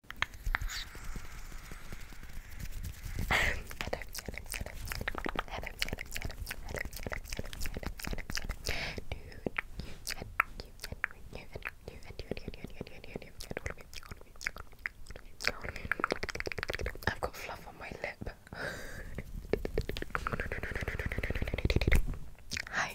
I've got fluff on my lip. Hi,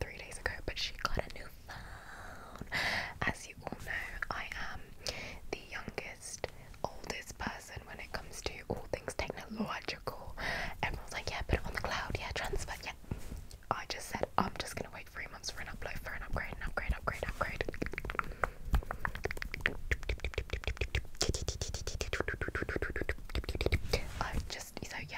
three days ago, but she got a new phone. As you all know, I am the youngest, oldest person when it comes to all things technological. Everyone's like, yeah, put it on the cloud, yeah, transfer, yeah. I just said, I'm just gonna wait three months for an upload, for an upgrade, upgrade, upgrade, upgrade. I just, so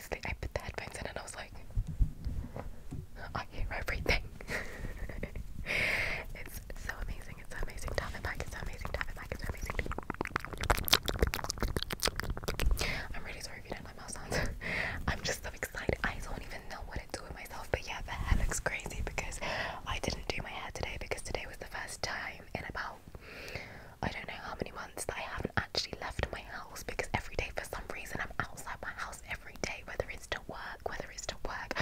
I put the headphones in and I was like, I hear everything. it's so amazing. It's amazing to have It's amazing It's amazing. I'm really sorry if you don't like mouse sounds. I'm just so excited. I don't even know what to do with myself. But yeah, the hair looks crazy because I didn't do my hair today because today was the first time in about I don't know how many months that I haven't actually left my house because every day for some reason I'm outside my house every day, whether it's to work, whether it's to work,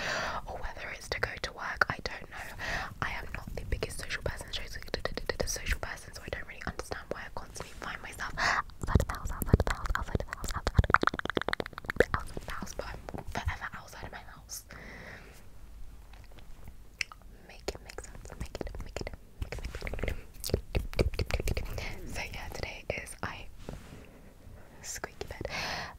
or whether it's to go to work. I don't know. I am not the biggest social person, social person, so I don't really understand why I constantly find myself outside of house, outside of house, outside of house, outside of house, outside of house, but I'm forever outside of my house. Make it make sense. Make it make it make it make it. So yeah, today is I squeaky bed.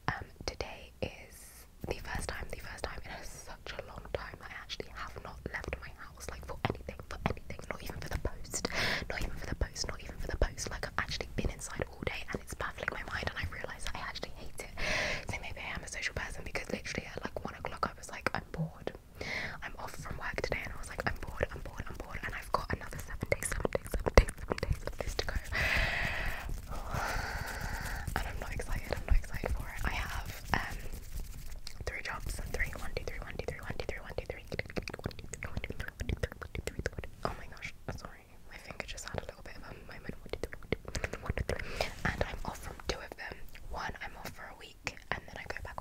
Um, today is the first time, the first time in such a long time I actually have not left my house like for anything, for anything, not even for the post, not even for the post, not even for the post. Like I've actually been inside all day and it's baffling my mind and I realise I actually hate it. So maybe I am a social person because literally at like one o'clock I was like, I'm bored. I'm off from work today and I was was like, I'm bored, I'm bored, I'm bored, and I've got another seven days, seven days, seven days, seven days, seven days to go. And I'm not excited, I'm not excited for it. I have um three jobs and three, one, two, three, one, two, three, one, two, three, one, two, three, one, two, three, one, two, three, one, two, three, one, two, three, one, two, three. Oh my gosh, sorry. My finger just had a little bit of a moment. One, two, three, one, two, three, one, two, three. And I'm off from two of them. One I'm off for a week and then I go back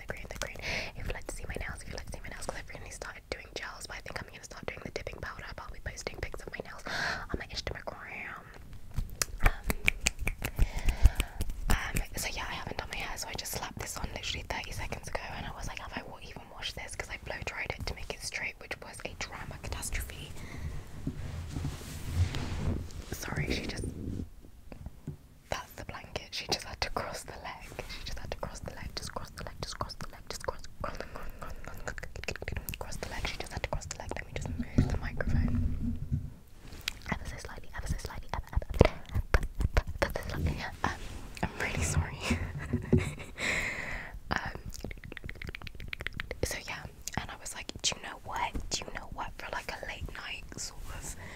the green, the green. If you'd like to see my nails, if you'd like to see my nails, because I've recently started doing gels, but I think I'm going to start doing the dipping powder. But I'll be posting pics of my nails on my Instagram. Um, um, so yeah, I haven't done my hair, so I just slapped this on literally 30 seconds ago, and I was like, have I even washed this? Because I blow dried it to make it straight, which was a drama catastrophe. Sorry, she just that's the blanket. She just had to cross the leg. She just had to cross the leg. Just cross the leg. Just cross the leg. Just cross, cross, cross, cross, cross, cross the leg. She just had to cross the leg. Let me just move the microphone. Ever so slightly. Ever so slightly. Ever, ever, ever, ever so slightly. Um, I'm really sorry. um. So yeah, and I was like, do you know what? Do you know what? For like a late night sort of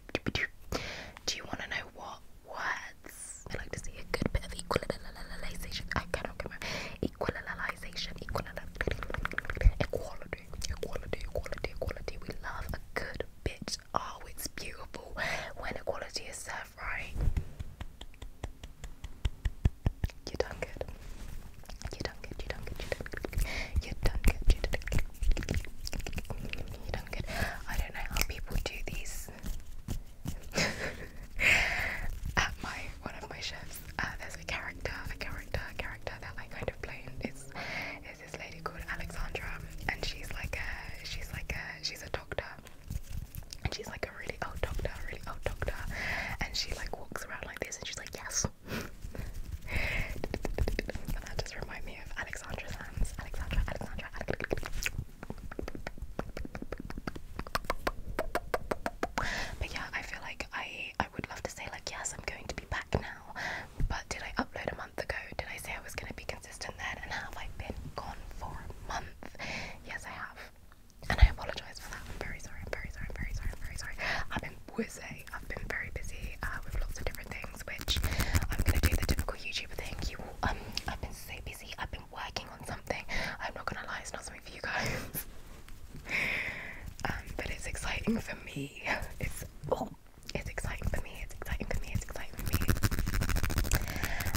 do you want to know what words? I like to see a good bit of equalization. I cannot get my equalization, equality, equality, equality, equality, We love a good bit. Oh, it's beautiful when equality is served right. You done good. You done good. You done good. You done good. You done good i don't know how people do these. At my one of my chefs, uh, there's a character, a character, character that I kind of play. It's this lady called Alexandra, and she's like a she's like a she's a doctor, and she's like a really old doctor, really old doctor, and she like walks around like this, and she's like yes. that just reminded me of Alexandra's hands. Alexandra, Alexandra, Alexandra. But yeah, I feel like I I would love to say like yes, I'm going to be back now. But did I upload a month ago? Did I say I was gonna be consistent then? And have I been gone for a month? Yes, I have. And I apologize for that. I'm very sorry. I'm very sorry. I'm very sorry. I'm very sorry. I've been busy. I've been very busy uh, with lots of different things, which I'm gonna do the typical YouTuber thing. You, um, I've been so busy. I've been working on something. I'm not gonna lie, it's not something for you guys. Um, but it's exciting for me. It's oh, it's exciting for me. It's exciting for me. It's exciting for me.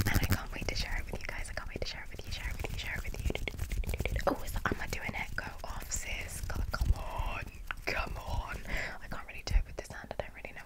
And I can't wait to share it with you guys. I can't wait to share it with you. Share it with you. Share it with you. Oh, is am I doing it? Go off, sis. Come on, come on. I can't really do it with this hand. I don't really know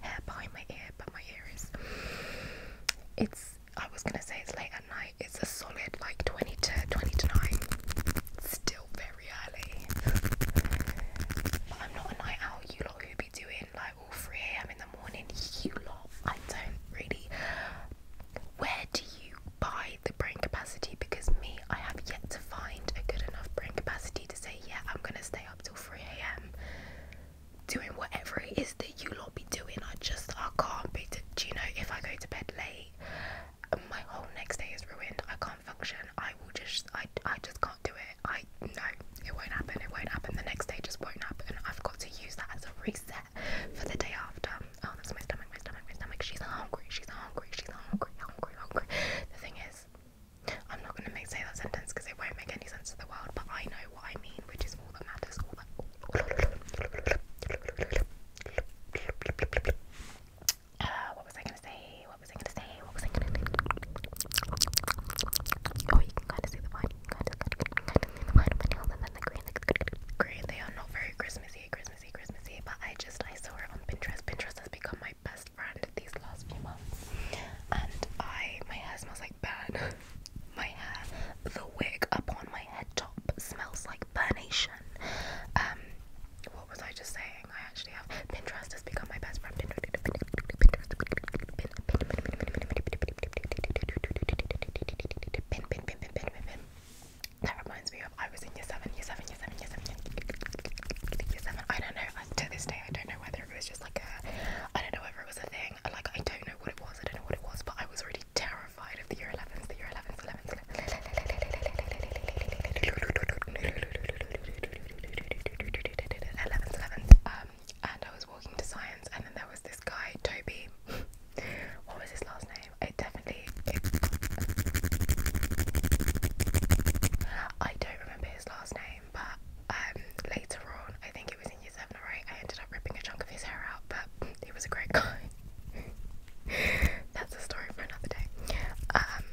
hair behind my ear, but my ear is. It's. I was gonna say it's late at night. It's a solid like 20 to 20 Still very early. I'm not a night owl. You lot who be doing like all 3 a.m. in the morning. You lot. I don't really. Where do you buy the brain capacity? Because me, I have yet to find a good enough brain capacity to say, yeah, I'm gonna stay up up till 3 a.m. doing whatever it is that you lot be doing. I just I can't be. Do you know if I go to bed late, um, my whole next day is ruined. I can't function. I will just I I just can't do it. I no, it won't happen. It won't happen. The next day just won't happen. I've got to use that as a reset for the day after. Oh, that's my stomach. My stomach. My stomach. She's hungry. She's hungry. She's hungry. Hungry. Hungry. The thing is. I'm not going to make say that sentence because it won't make any sense to the world, but I know what I mean, which is all that matters. Uh, what was I going to say? What was I going to say? What was I going to do? Oh, you can kind of see the vine. the vine on and then the green. The green. They are not very Christmassy, Christmassy, Christmassy, but I just I saw it on Pinterest. Pinterest has become my my best friend these last few months, and I my hair smells like burn. my hair, the wig up on my head top smells like burnation. Um, what was I just saying? I actually have Pinterest has become my best friend. Pin, That reminds me of I was in year seven, year seven, year seven, year seven. Year seven. I don't know. To this day, I don't know whether it was just like a, I don't know whether it was a thing, like I don't know what it was, I don't know what it was, but I was already terrified of the year 11s, the year 11s, 11s, 11s, 11s, um, and I was walking to science, and then there was this guy, Toby, what was his last name? It definitely, it, I don't remember his last name, but um, later on, I think it was in year seven or eight, I ended up ripping a chunk of his hair out, but he was a great guy. That's a story for another day. Um,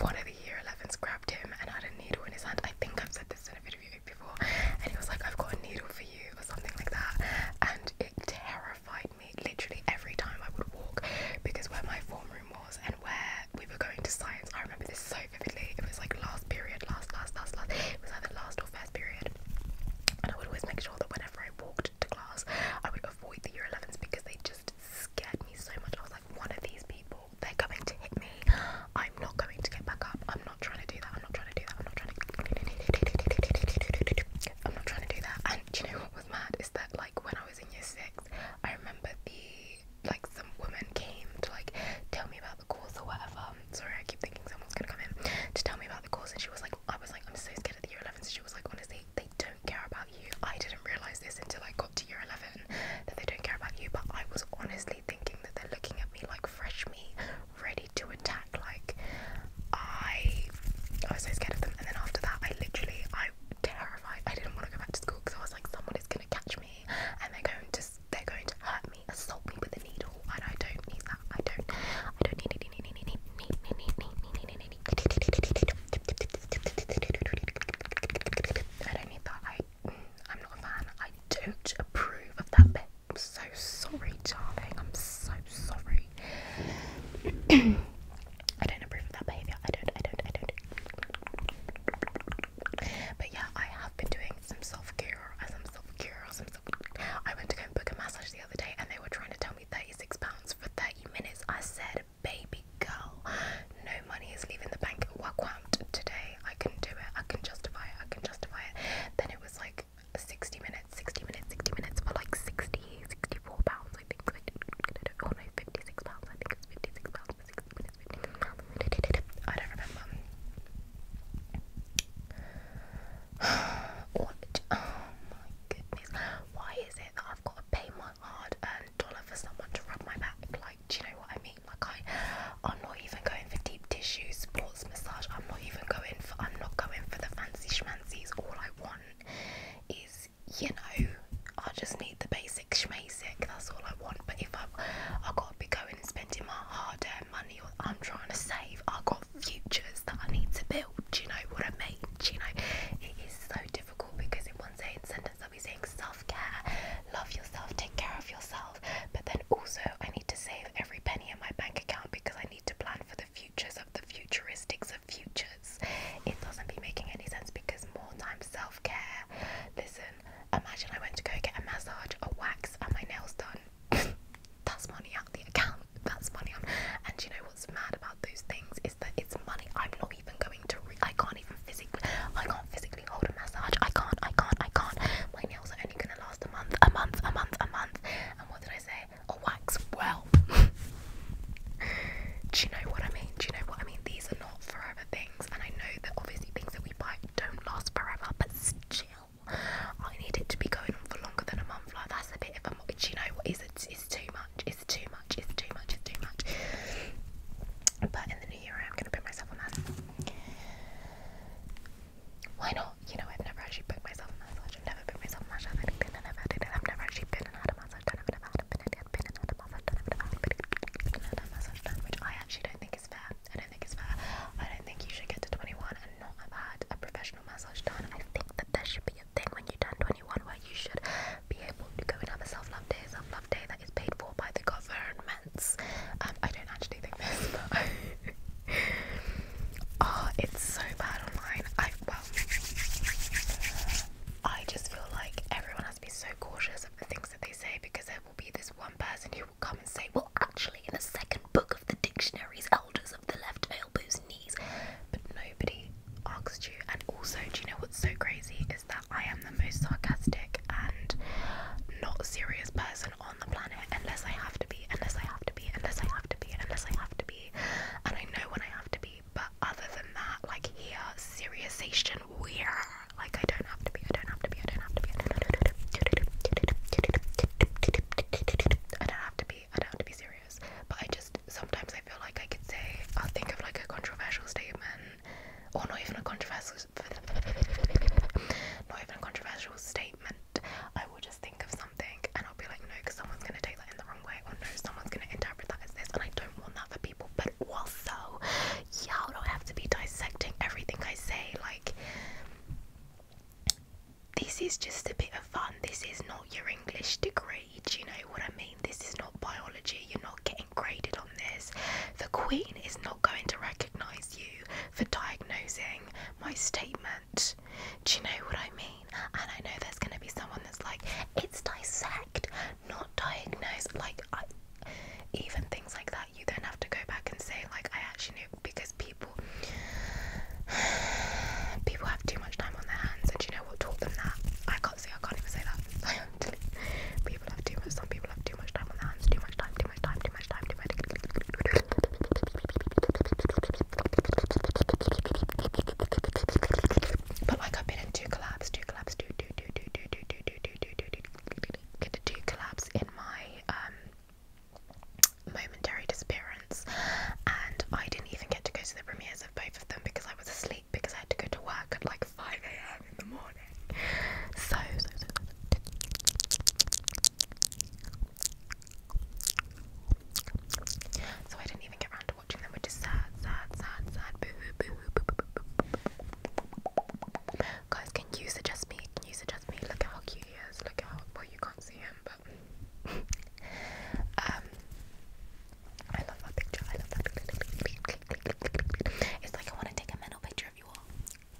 one of the year 11s grabbed him and had a needle in his hand. I think I've said this in a video before, and he was like, I've got a needle for you, or something like that. And it terrified me literally every time I would walk because where my form room was and where we were going to science. I remember this so vividly. It was like last period, last, last, last, last. It was either last or first period. And I would always make sure that whenever I walked to class, I would avoid the year 11s because they just scared me so much. I was like, one of these people, they're going to hit me. I'm not going to get back up. I'm not trying to do that. I'm not trying to do that. I'm not trying to. I'm not trying to do that. And do you know what was mad? Is that like when I was in year six, I remember the like some woman came to like tell me about the course or whatever. Sorry, I keep thinking someone's gonna come in to tell me about the course, and she was like, I was like, I'm so scared of the year 11. she was like, honestly, they don't care about you. I didn't realize this until I got to year 11 that they don't care about you, but I was honestly thinking that they're looking at me like fresh meat, ready to attack. Like, I, I was so scared of them, and then after that, I literally, I I terrified. I didn't want to go back to school because I was like, someone is gonna catch me and they're going to they're going to hurt me, assault me with a needle, and I don't need that. I don't I don't need that. I I'm not a fan. I don't approve of that bit. I'm so sorry, darling. I'm so sorry. I don't approve of that behaviour. I don't, I don't, I don't. But yeah, I have been doing some self care, uh, some self care, some self. I went to go book a massage the other day, and they were trying to tell me thirty-six pounds for thirty minutes. I said, "Baby girl, no money is leaving the bank. What quant today? I can do it. I can justify it. I can justify it." Then it was like sixty minutes, sixty minutes, sixty minutes for like 60, 64 pounds, I think. Or oh no, fifty-six pounds. I think it's fifty-six pounds. I don't remember. Oh my goodness. Why is it that I've got to pay my hard earned dollar for someone to rub my back? Like, do you know what I mean? Like, I, am not even going for deep tissue, sports massage. I'm not even going for, I'm not going for the fancy schmancies. All I want is you know I just need the basic schmasic. That's all I want. But if I I gotta be going and spending my hard-earned money, or I'm trying to save, I have got futures that I need to build. Do you know what I mean? you know it is so difficult because in one sentence I'll be saying self-care, love yourself, take care of yourself, but then also I need to save every penny in my bank account because I need to plan for the futures of the futuristics of futures. It doesn't be making any sense because more times self care. Listen, imagine I went to go get a massage, a wax, and my nails done. That's money out the account. That's money out. And you know what's mad about those things is that it's money I'm not even going to. Re I can't even physically. I can't physically hold a massage. I can't. I can't. I can't. My nails are only gonna last a month. A month. A month. A month. And what did I say? A wax. Well. Do you know what I mean? Do you know what I mean? These are not forever things and I know that obviously things that we buy don't last forever, but still, I need it to be going on for longer than a month. Like that's a bit of a, do you know what is it? It's too much. It's too much. It's too much. It's too much. But in the new year, I am gonna put myself on that. Why not? You know, I've never actually put myself on massage. I've never put myself on massage. I've never been I've had it. I've never actually been and a massage which I actually don't think is fair. I don't think it's fair. I don't think you should get to 21 and not have had a professional massage done. I think that there should be a thing when you turn 21 where you should be able to go and have a self-love day, self-love day that is paid for by the governments. Um, I don't actually think this, but oh, it's so bad online. I well, I just feel like everyone has to be so cautious of the things they say because there will be this one person who will come and say, Well, actually, in the second book of the dictionaries, elders of the left elbows, knees. But nobody asked you. And also, do you know what's so crazy? Is that I am the most sarcastic and not serious person on the planet unless I have to be, unless I have to be, unless I have to be, unless I have to be. And I know when I have to be, but other than that, like here, serious weird. Like I don't have to be, I don't have to be, I don't have to be, I don't have to be I don't have to be, I don't have to be serious. But I just sometimes I feel like I could say I'll think of like a controversial statement or not even a controversial not even a controversial statement. I will just think of something and I'll be like no because someone's gonna take that in the wrong way or no someone's gonna interpret that as this and I don't want that for but also, y'all don't have to be dissecting everything I say. Like, this is just a bit of fun. This is not your English degree. Do you know what I mean? This is not biology. You're not getting graded on this. The Queen is not going to recognize you for diagnosing my statement. Do you know what I mean? And I know there's going to be someone that's like, it's dissect not diagnosed. Like, I, even things like that, you then have to go back and say, like, I actually knew because people people have too much time on their hands, and you know what taught them that? I can't say, I can't even say that. people have too much. Some people have too much time on their hands. Too much time. Too much time. Too much time. Too much. But like I've been in two collabs, two collabs, do do do do do do do do do do do in my momentary disappearance and I didn't even get to go to the premieres of both of them because I was asleep because I had to go to work at like 5 a.m. in the morning. So, so, I didn't even get around to watching them, which is sad, sad, sad, sad, Guys, can you suggest me? Can you suggest me? Look at how cute he is. Look at how well you can't see him, but um, I love that picture. I love that picture. It's like I want to take a mental picture of you all.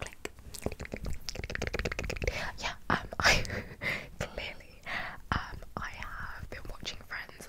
Click. Yeah. Um, I clearly um I have been watching Friends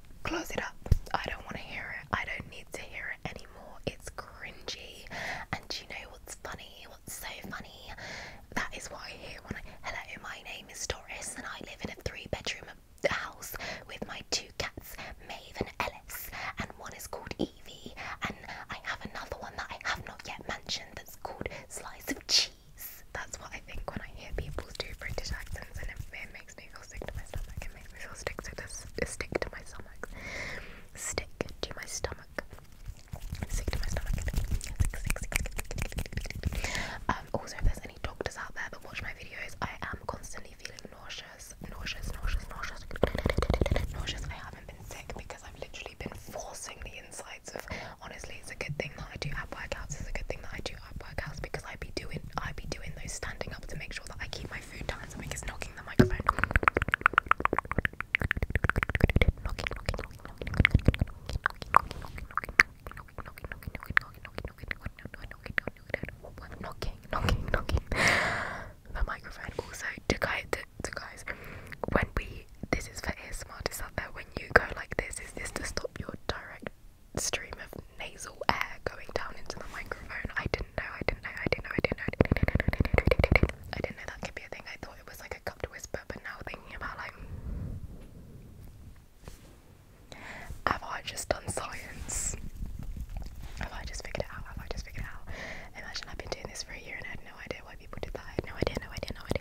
Close it up. I don't want to hear it. I don't need to hear it anymore. It's cringy. And you know what's funny? What's so funny? That is why. I hear when I. Hello, my name is Doris, and I live in a three bedroom house with my two cats, Mave and Ellis. And one is called Evie, and I have another one that I have not yet mentioned that's called Slice of Cheese. That's what I think when I hear people do British accents, and it, it makes makes me feel sick to my stomach. It me feel sick to this stick to my stomach. Stick to my stomach. Sick to my stomach. also, if there's any doctors out there that watch my videos, I am constantly feeling nauseous, nauseous, nauseous, nauseous, nauseous. I haven't been sick because I've literally been forcing the insides of. Honestly, it's a good thing that I do ab workouts. It's a good thing that I do ab workouts because I be doing, I be doing those standing up to make sure that I keep my food time. Something is knocking the microphone. Knocking, knocking, knocking, knocking, knocking, knocking, knocking, knocking, knocking, knocking, knocking, the microphone. Also, to guys, to guys, when we, this is for ASMR, is that there when you go like this, is this to stop your direct stream nasal air going down into the microphone. I didn't know, I didn't know, I didn't know, I didn't know, I didn't know, I didn't know, I didn't know, I didn't know that could be a thing. I thought it was like a cupped whisper, but now thinking about like, have I just done science? Have I just figured it out? Have I just figured it out? Imagine I've been doing this for a year and I had no idea why people did that. I had no idea, no idea, no idea.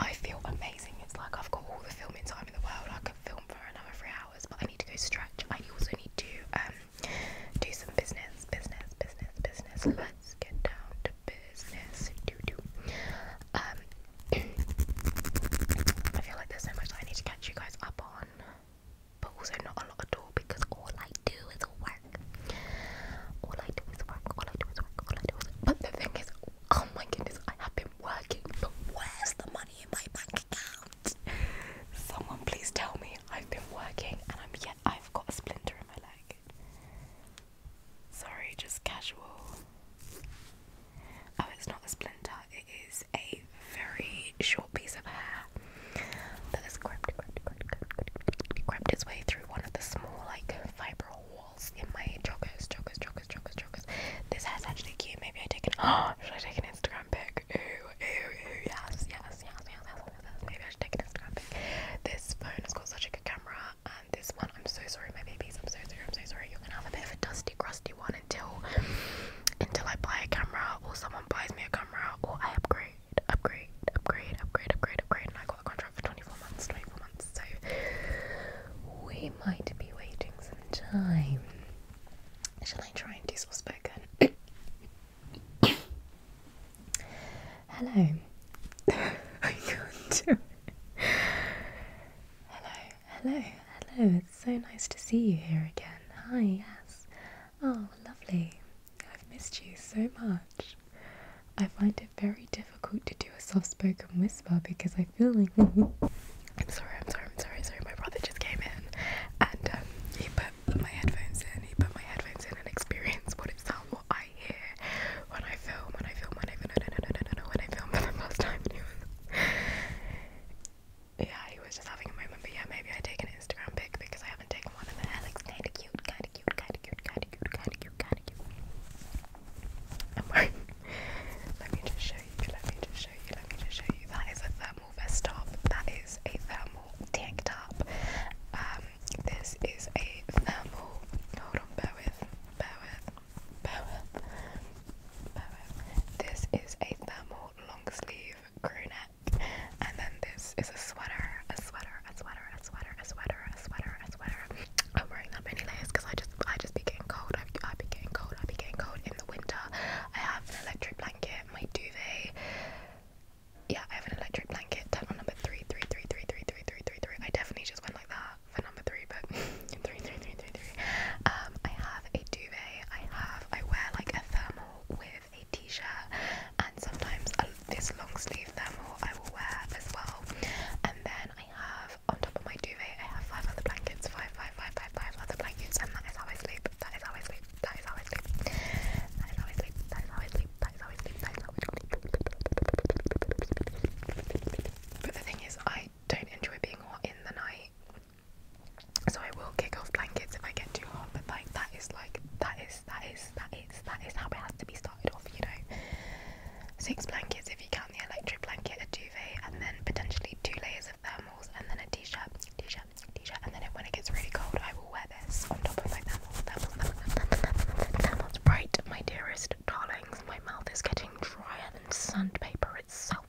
I feel amazing. It's like I've got all the filming time in the world. I could film for another three hours, but I need to go stretch. I also need to um do some business, business, business, business. Let's get down to business. Do do. Um, I feel like there's so much that I need to catch you guys up on, but also not a lot at all because all I do is work. All I do is work. All I do is work. All I do is work. But the thing is, oh my goodness, I have been working, but where's the money in my bank account? out. Someone please tell me I've been working and I'm yet I've got a splinter in my leg. Sorry, just casual. Oh, it's not a splinter, it is a very short piece of hair that has crept, crept, crept, crept, crept its way through one of the small, like, fibral walls in my joggers, joggers, joggers, joggers, joggers. This hair's actually cute. Maybe I take an. Oh, should I take an Instagram pic? like, ooh, ooh, ooh, yes, yes, yes, yes, yes, yes, yes. Maybe I should take an Instagram pic. This phone has got such a good camera, and this one, I'm so sorry, my babies, I'm so sorry, I'm so sorry. You're gonna have a bit of a dusty, crusty one until, until I buy a camera, or someone buys me a camera, or I upgrade, upgrade, upgrade, upgrade, upgrade, upgrade, and I got a contract for 24 months, 24 months, so we might be waiting some time. Shall I try and do soft spoken? Hello. I Hello, hello, hello. It's so nice to see you here again. Hi, yes. Oh, lovely. I've missed you so much. I find it very difficult to do a soft spoken whisper because I feel like I'm sorry, I'm sorry, I'm sorry, sorry. My brother just came in and um, he put my headphones in. He put my headphones in and experienced what it sounds, what I hear when I film, when I film, when I film, no, no, no, no, no, no, when I film for the first time. And he was, yeah, he was just having a moment. But yeah, maybe I take an Instagram pic because I haven't taken one, and the hair looks kind of cute, kind of cute, kind of cute, kind of cute, kind of cute, kind of cute. I'm wearing. let me just show you. Let me just show you. Let me just show you. That is a thermal thermal vest top. That is a thermal tank top. Um, this is a thermal. Hold on, bear with, bear with, bear with, bear with. This is a thermal long sleeve crew neck, and then this is a sweater, a sweater, a sweater, a sweater, a sweater, a sweater, a sweater. I'm wearing that many layers because I just, I just be getting cold. I, I be getting cold. I be getting cold in the winter. I have an electric blanket my duvet. Yeah, I have an electric blanket. Tunnel number three, three, three, three, three, three, three, three, three. I definitely just went like that for number three, but three, three, three, three, three. Um, I have a duvet. I have. I wear like a thermal with a t-shirt, and sometimes this long sleeve thermal I will wear as well. And then I have on top of my duvet, I have five other blankets. Five, five, five, five, I But the thing is, I don't enjoy being hot in the night, so I will kick off blankets if I get too hot. But like that is like that is that is that is that is how it has to be started off, you know. Six blankets if you count the electric blanket, a duvet, and then potentially two layers of thermals, and then a t-shirt, t-shirt, t-shirt, and then when it gets really cold, I will wear this on top of my camel, thermals, thermals, thermals. Right, my dearest darlings, my mouth is getting drier than sandpaper itself,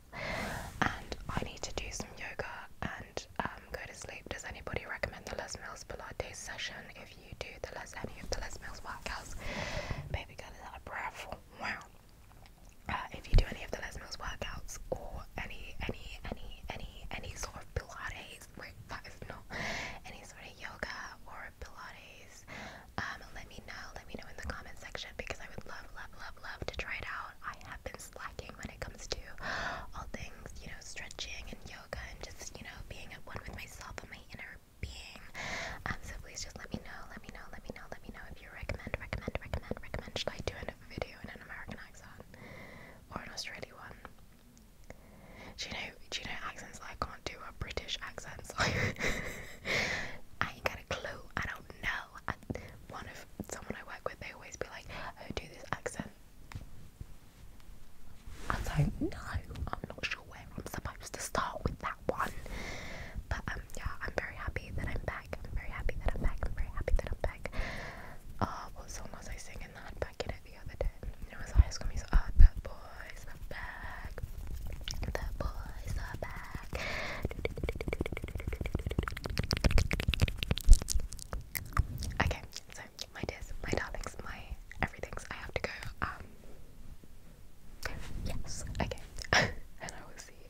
and I need to do some yoga and um, go to sleep. Does anybody recommend the Les Mills Pilates session? If you do the Les any of the Les Mills workouts, baby girl is out of breath. Wow. Uh, if you do any of the Les Mills workouts or any any any any any sort of Pilates, wait, that is not any sort of yoga or Pilates, um, let me know. Let me know in the comment section because I would love, love, love, love to try it out. I have been slacking when it comes to all things, you know, stretching and yoga and just you know being at one with myself and my inner being. Um, so please just let me know, let me know, let me know, let me know if you recommend, recommend, recommend, recommend. Should I do it? video in an American accent or an Australian you know? you know accents I can't do are British accents? I ain't got a clue. I don't know. I, one of someone I work with, they always be like, oh, do this accent." I don't know. I'm not sure where I'm supposed to start with that one. But um, yeah, I'm very happy that I'm back back. I'm very happy that I'm back. I'm very happy that I'm back. what song was I singing that back in it the other day? It was High School Music. Oh, uh, the boys back. The boys are back. Okay, so my dears, my darlings, my everything's. I have to go. Um, yes. Okay. and I will see you.